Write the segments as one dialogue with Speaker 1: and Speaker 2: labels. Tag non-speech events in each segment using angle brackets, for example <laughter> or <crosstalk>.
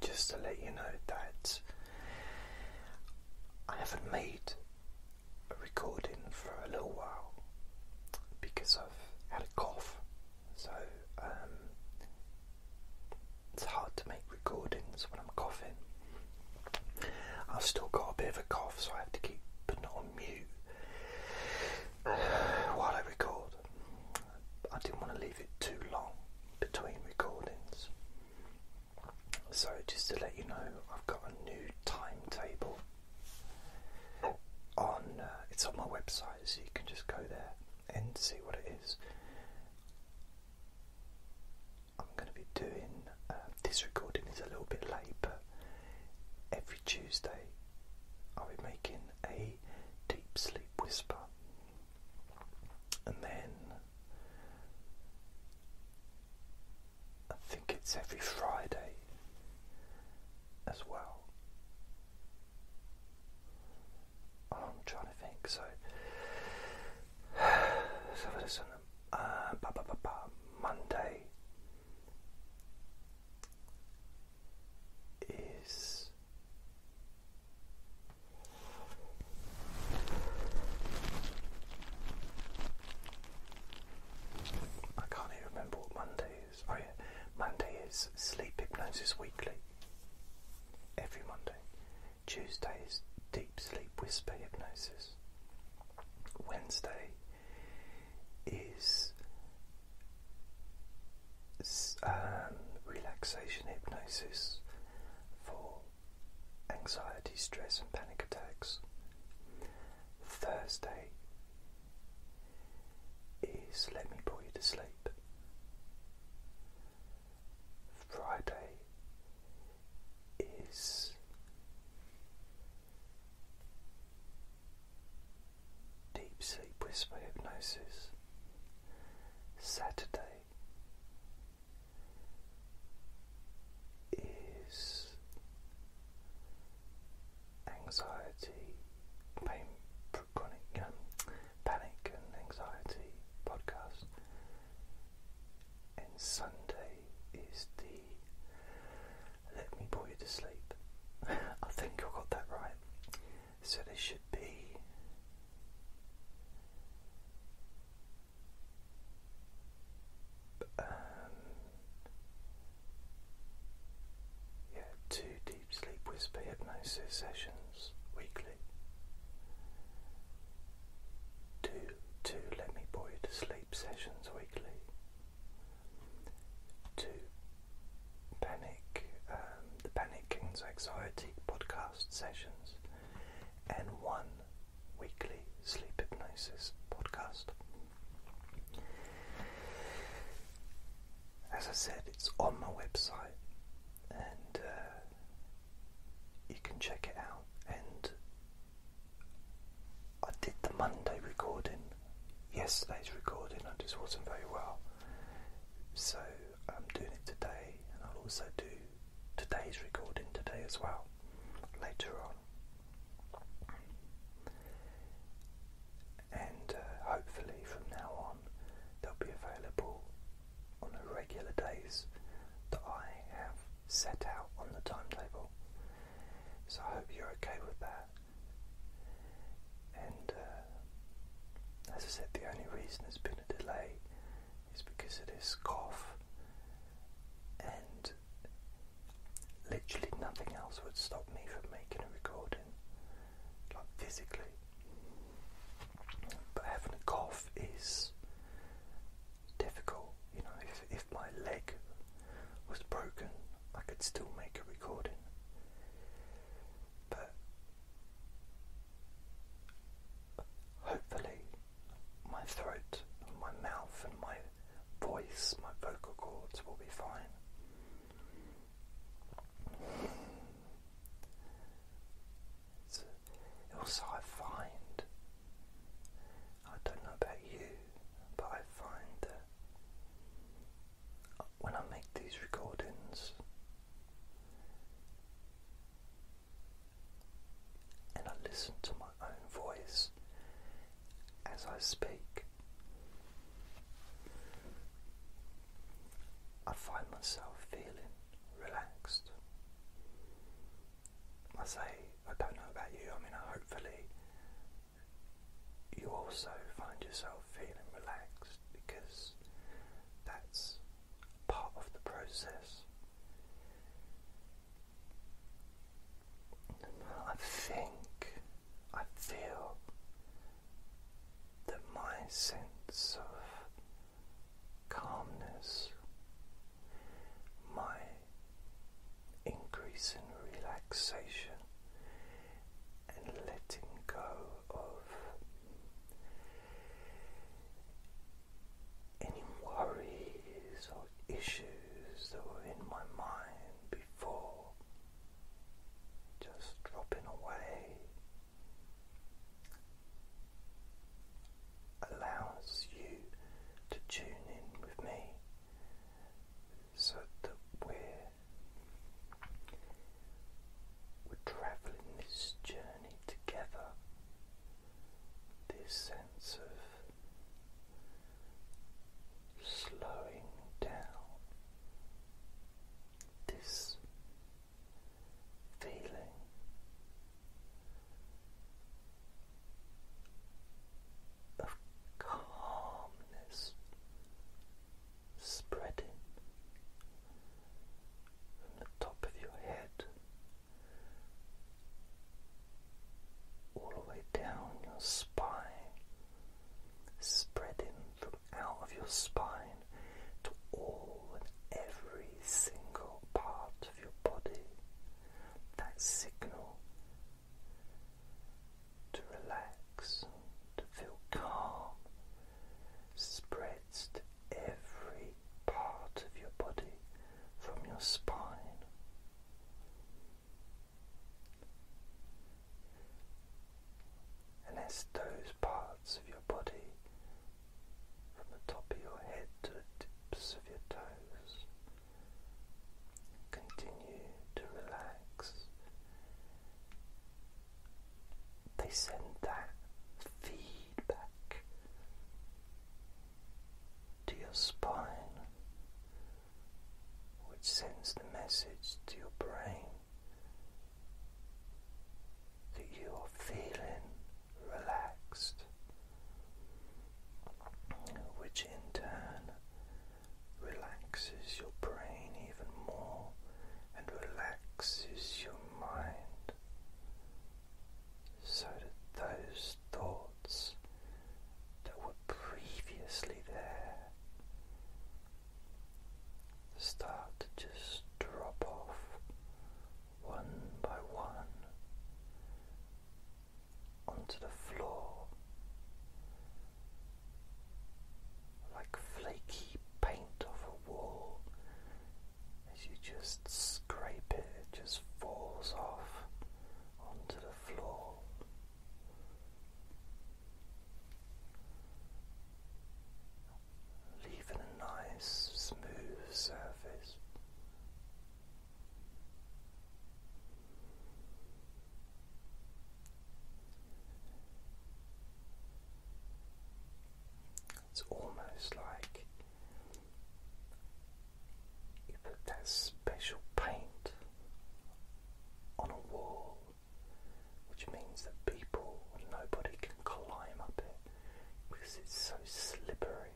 Speaker 1: Just to let you know that I haven't made a recording for a little while because I've had a cough, so um, it's hard to make recordings when I'm coughing. I've still got a bit of a cough, so I have to keep putting it on mute <sighs> while I record. I didn't want to leave it too long between recordings. So, just to let you know, I've got a new timetable on uh, it's on my website, so you can just go there and see what it is. I'm going to be doing uh, this recording is a little bit late, but every Tuesday I'll be making a deep sleep whisper, and then I think it's every Friday as well. I'm trying to think. So, <sighs> so listen. Uh, Monday is I can't even remember what Monday is. Oh, yeah, Monday is Sleep Hypnosis Weekly. Every Monday. Tuesday is Deep Sleep Whisper Hypnosis. Wednesday is um, relaxation hypnosis for anxiety, stress, and panic attacks. Thursday is Let Me Put You to Sleep. Friday is Deep Sleep Whisper Hypnosis, Saturday is Anxiety, um, Panic and Anxiety podcast, and Sunday is the Let Me Put You to Sleep. <laughs> I think I got that right. So they should be um, yeah, two deep sleep whisper hypnosis sessions weekly. Two, two let me bore you to sleep sessions weekly. Two panic, um, the panic and anxiety podcast sessions, and one weekly sleep hypnosis podcast. As I said, it's on my website, and uh, you can check it out. And I did the Monday recording, yesterday's recording. I just wasn't very well, so I'm doing it today, and I'll also do today's recording today as well, later on. And uh, hopefully, from now on, they'll be available on the regular days that I have set out on the timetable. So I hope you're okay with that. And uh, as I said, the only reason there's been a delay is because of this cough, and literally nothing else would stop me from making a recording, like physically. But having a cough is difficult, you know. If, if my leg was broken, I could still make a recording. But Hopefully, my throat, and my mouth, and my voice, my vocal cords will be fine. also, I find, I don't know about you, but I find that when I make these recordings, and I listen to my own voice as I speak. I find myself feeling relaxed. I say, I don't know about you, I mean, hopefully you also find yourself feeling relaxed because that's part of the process. I think I feel that my sense of calmness, my increase in relaxation and letting go of any worries or issues that were in my mind before, just dropping away allows you to tune in with me so that we're we're traveling this journey together. This sense of slowing down, this feeling of calmness spreading from the top of your head all the way down your spine, spreading from out of your spine to all and every single part of your body. That signal to relax, to feel calm spreads every part of your body from your spine. And as those parts of your body, from the top of your head to the tips of your toes, continue to relax they send that feedback to your spine, which sends the message to your brain that you are feeling relaxed, which in turn relaxes your brain even more and relaxes your mind so that those thoughts that were previously there start to just drop off one by one onto the floor like flaky paint off a wall. As you just scrape it, it just falls off onto the floor. Leaving a nice smooth surface. It's almost like you put that special paint on a wall, which means that people nobody can climb up it because it's so slippery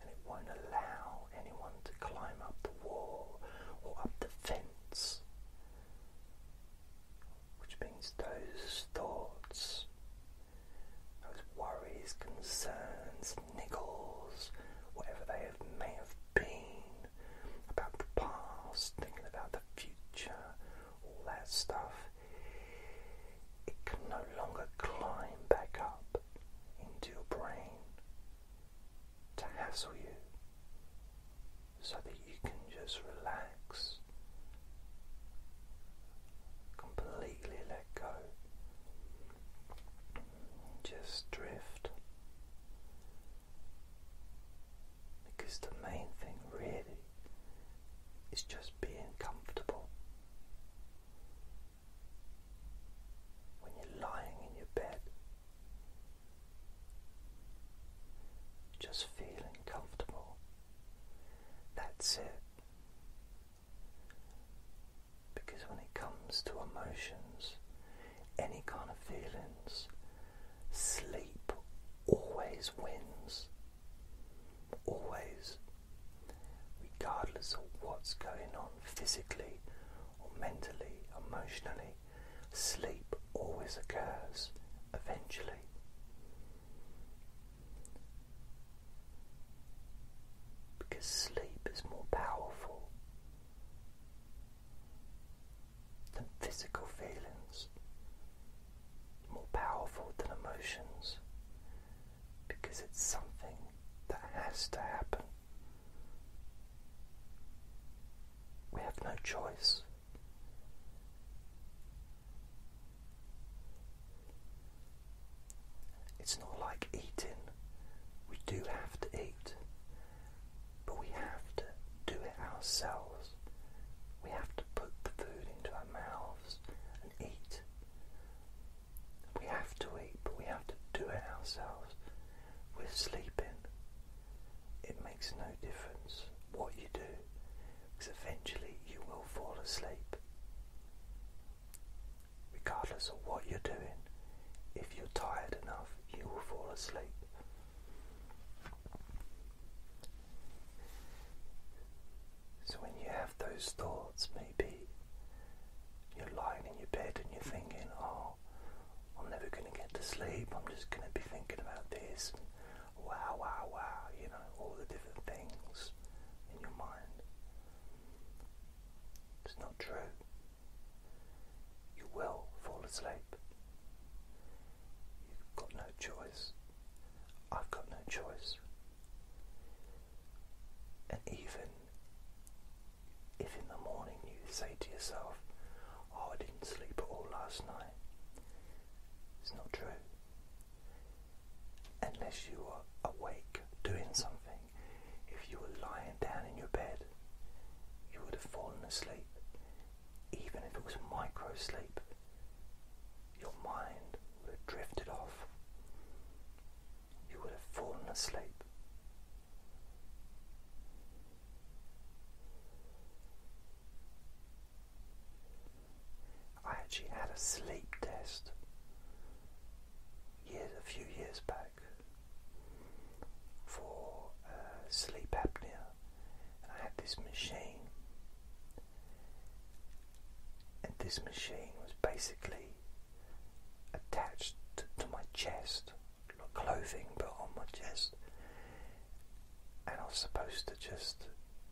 Speaker 1: and it won't allow anyone to climb up the wall or up the fence which means those thoughts, those worries, concerns, niggles, whatever they have, may have been about the past, thinking about the future, all that stuff, it can no longer climb back up into your brain to hassle you so that you can just relax, completely let go, just drift. Because the main thing really is just being comfortable. When you're lying in your bed, just feeling comfortable. That's it. Because when it comes to emotions, any kind of feelings, sleep always wins. Always. Regardless of what's going on physically or mentally, emotionally, Sleep always occurs eventually. Because sleep is more powerful than physical feelings, more powerful than emotions, because it's something that has to happen. We have no choice. It's not like eating. We do have to eat, but we have to do it ourselves. We have to put the food into our mouths and eat. We have to eat, but we have to do it ourselves. We're sleeping. It makes no difference what you do because eventually you will fall asleep. Regardless of what you're doing, if you're tired enough, you will fall asleep. So, when you have those thoughts, maybe you're lying in your bed and you're thinking, oh, I'm never going to get to sleep, I'm just going to be thinking about this wow, wow, wow, you know, all the different things in your mind. It's not true. You will fall asleep. You've got no choice. I've got no choice. And even if in the morning you say to yourself, Oh, I didn't sleep at all last night, it's not true. Unless you are awake doing something, if you were lying down in your bed, you would have fallen asleep. Even if it was micro sleep, your mind would have drifted off. You would have fallen asleep. I actually had a sleep test years, a few years back for uh, sleep apnea, I had this machine, and this machine was basically attached to my chest, not clothing, but on my chest, and I was supposed to just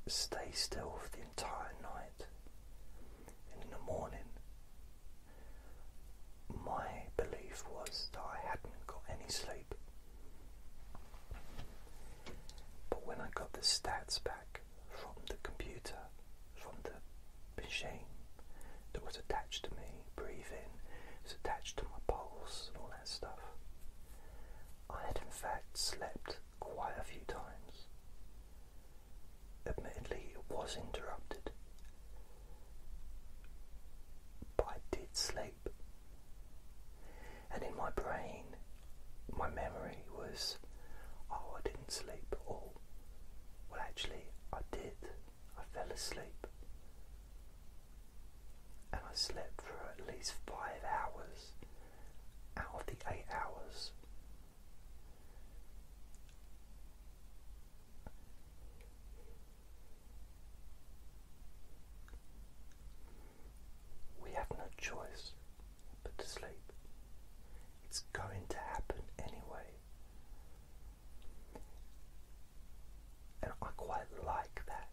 Speaker 1: stay still for the entire night. And in the morning, my belief was that I hadn't got any sleep. But when I got the stats back from the computer, from the machine that was attached to me, breathing, it was attached to my pulse and all that stuff, I had in fact slept quite a few times. Admittedly, it was interrupted, but I did sleep. And in my brain, my memory was, oh, I didn't sleep at all. Well, actually, I did. I fell asleep and I slept for at least five hours out of the eight hours. We have no choice but to sleep. It's going to happen anyway. And I quite like that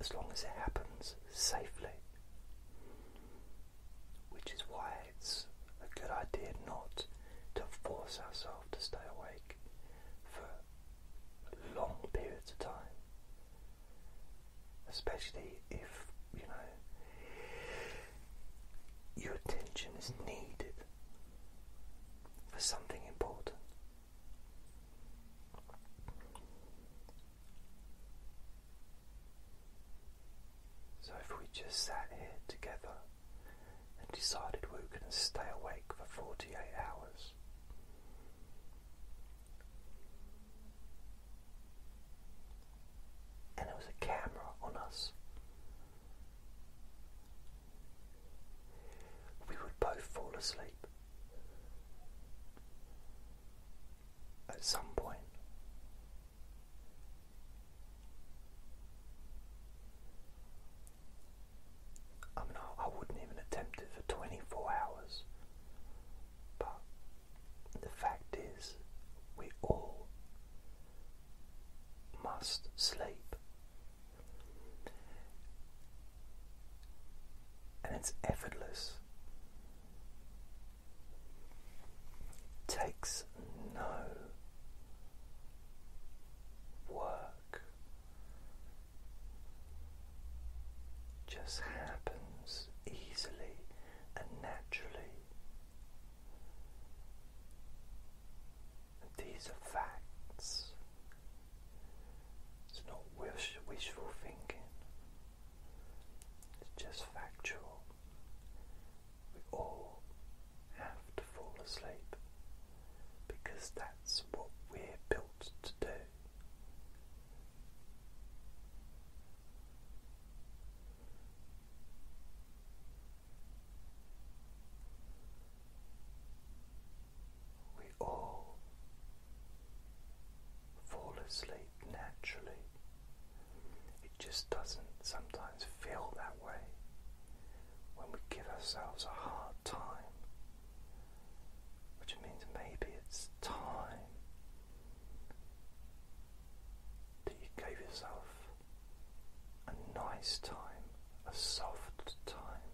Speaker 1: as long as it happens safely, which is why it's a good idea not to force ourselves to stay awake for long periods of time, especially if you know your attention is needed for something important. So, if we just sat here together and decided we were going to stay awake for 48 hours, and there was a camera on us, we would both fall asleep at some point. I mean, I, I wouldn't even attempt it for 24 hours, but the fact is, we all must sleep and it's effortless. Takes no work, just happens easily and naturally. These are facts. It's not wish, wishful thinking, it's just factual. We all have to fall asleep because that's what we're built to do we all fall asleep naturally. It just doesn't sometimes feel that way when we give ourselves a hard time, which means maybe it's time that you gave yourself a nice time a soft time,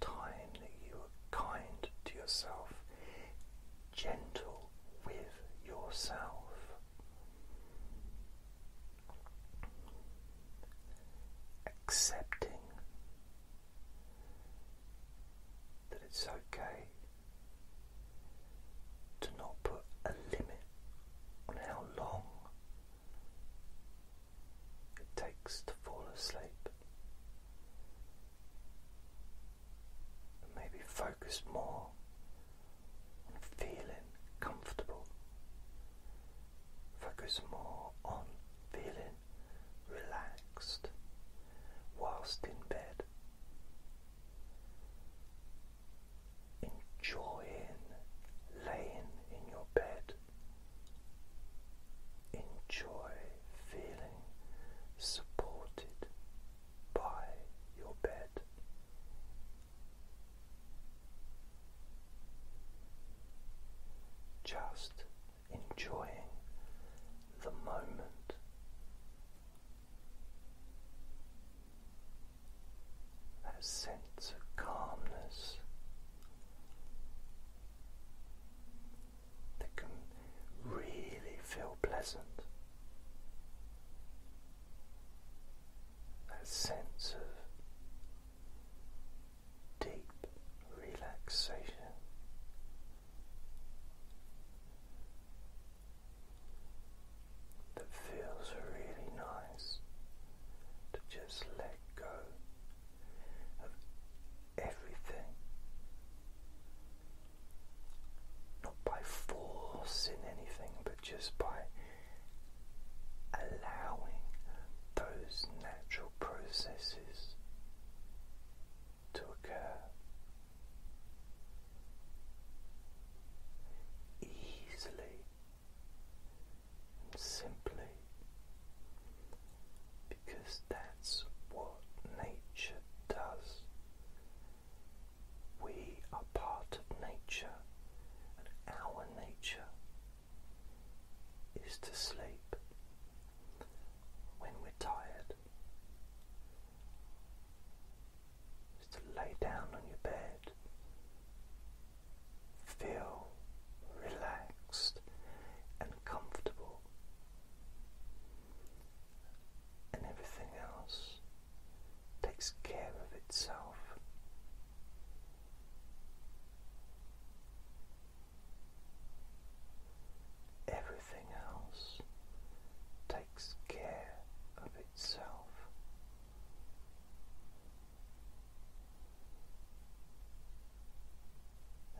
Speaker 1: time that you are kind to yourself, gentle with yourself. Accepting that it's okay to not put a limit on how long it takes to fall asleep. maybe focus more on feeling comfortable. Focus more on feeling relaxed whilst in bed enjoying laying in your bed. Enjoy feeling supported by your bed. Just enjoying the moment that sense of calmness that can really feel pleasant. That sense of deep relaxation. That feels really nice to just let let go everything. Not by forcing anything, but just by allowing those natural processes to occur. Easily simply because that's what nature does. We are part of nature, and our nature is to sleep when we're tired. Is to lay down on your bed feel relaxed and comfortable, and everything else takes care of itself. Everything else takes care of itself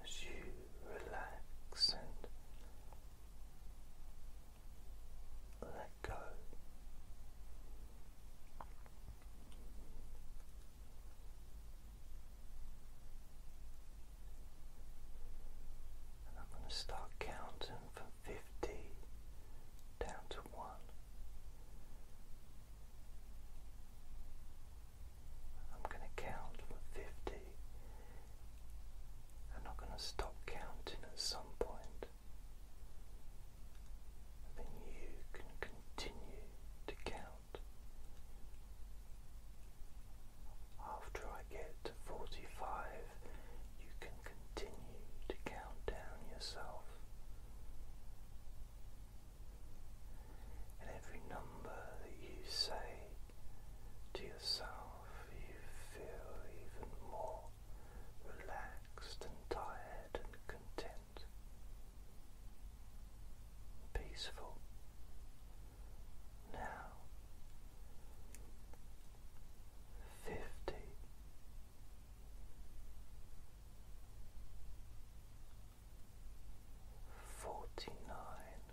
Speaker 1: as you relax and let go. I'm going to start counting from 50 down to 1. I'm going to count for 50. I'm not going to stop counting at some point. then you can continue to count. After I get to 45, you can continue to count down yourself and every number that you say to yourself, you feel even more relaxed and tired and content, peaceful. Now, fifty forty nine.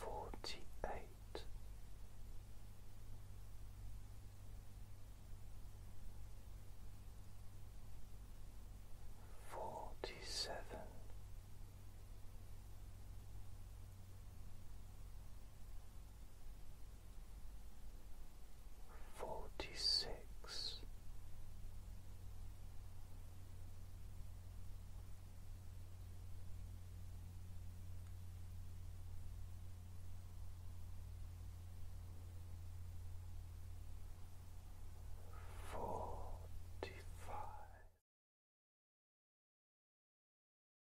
Speaker 1: Forty eight, forty seven, forty six.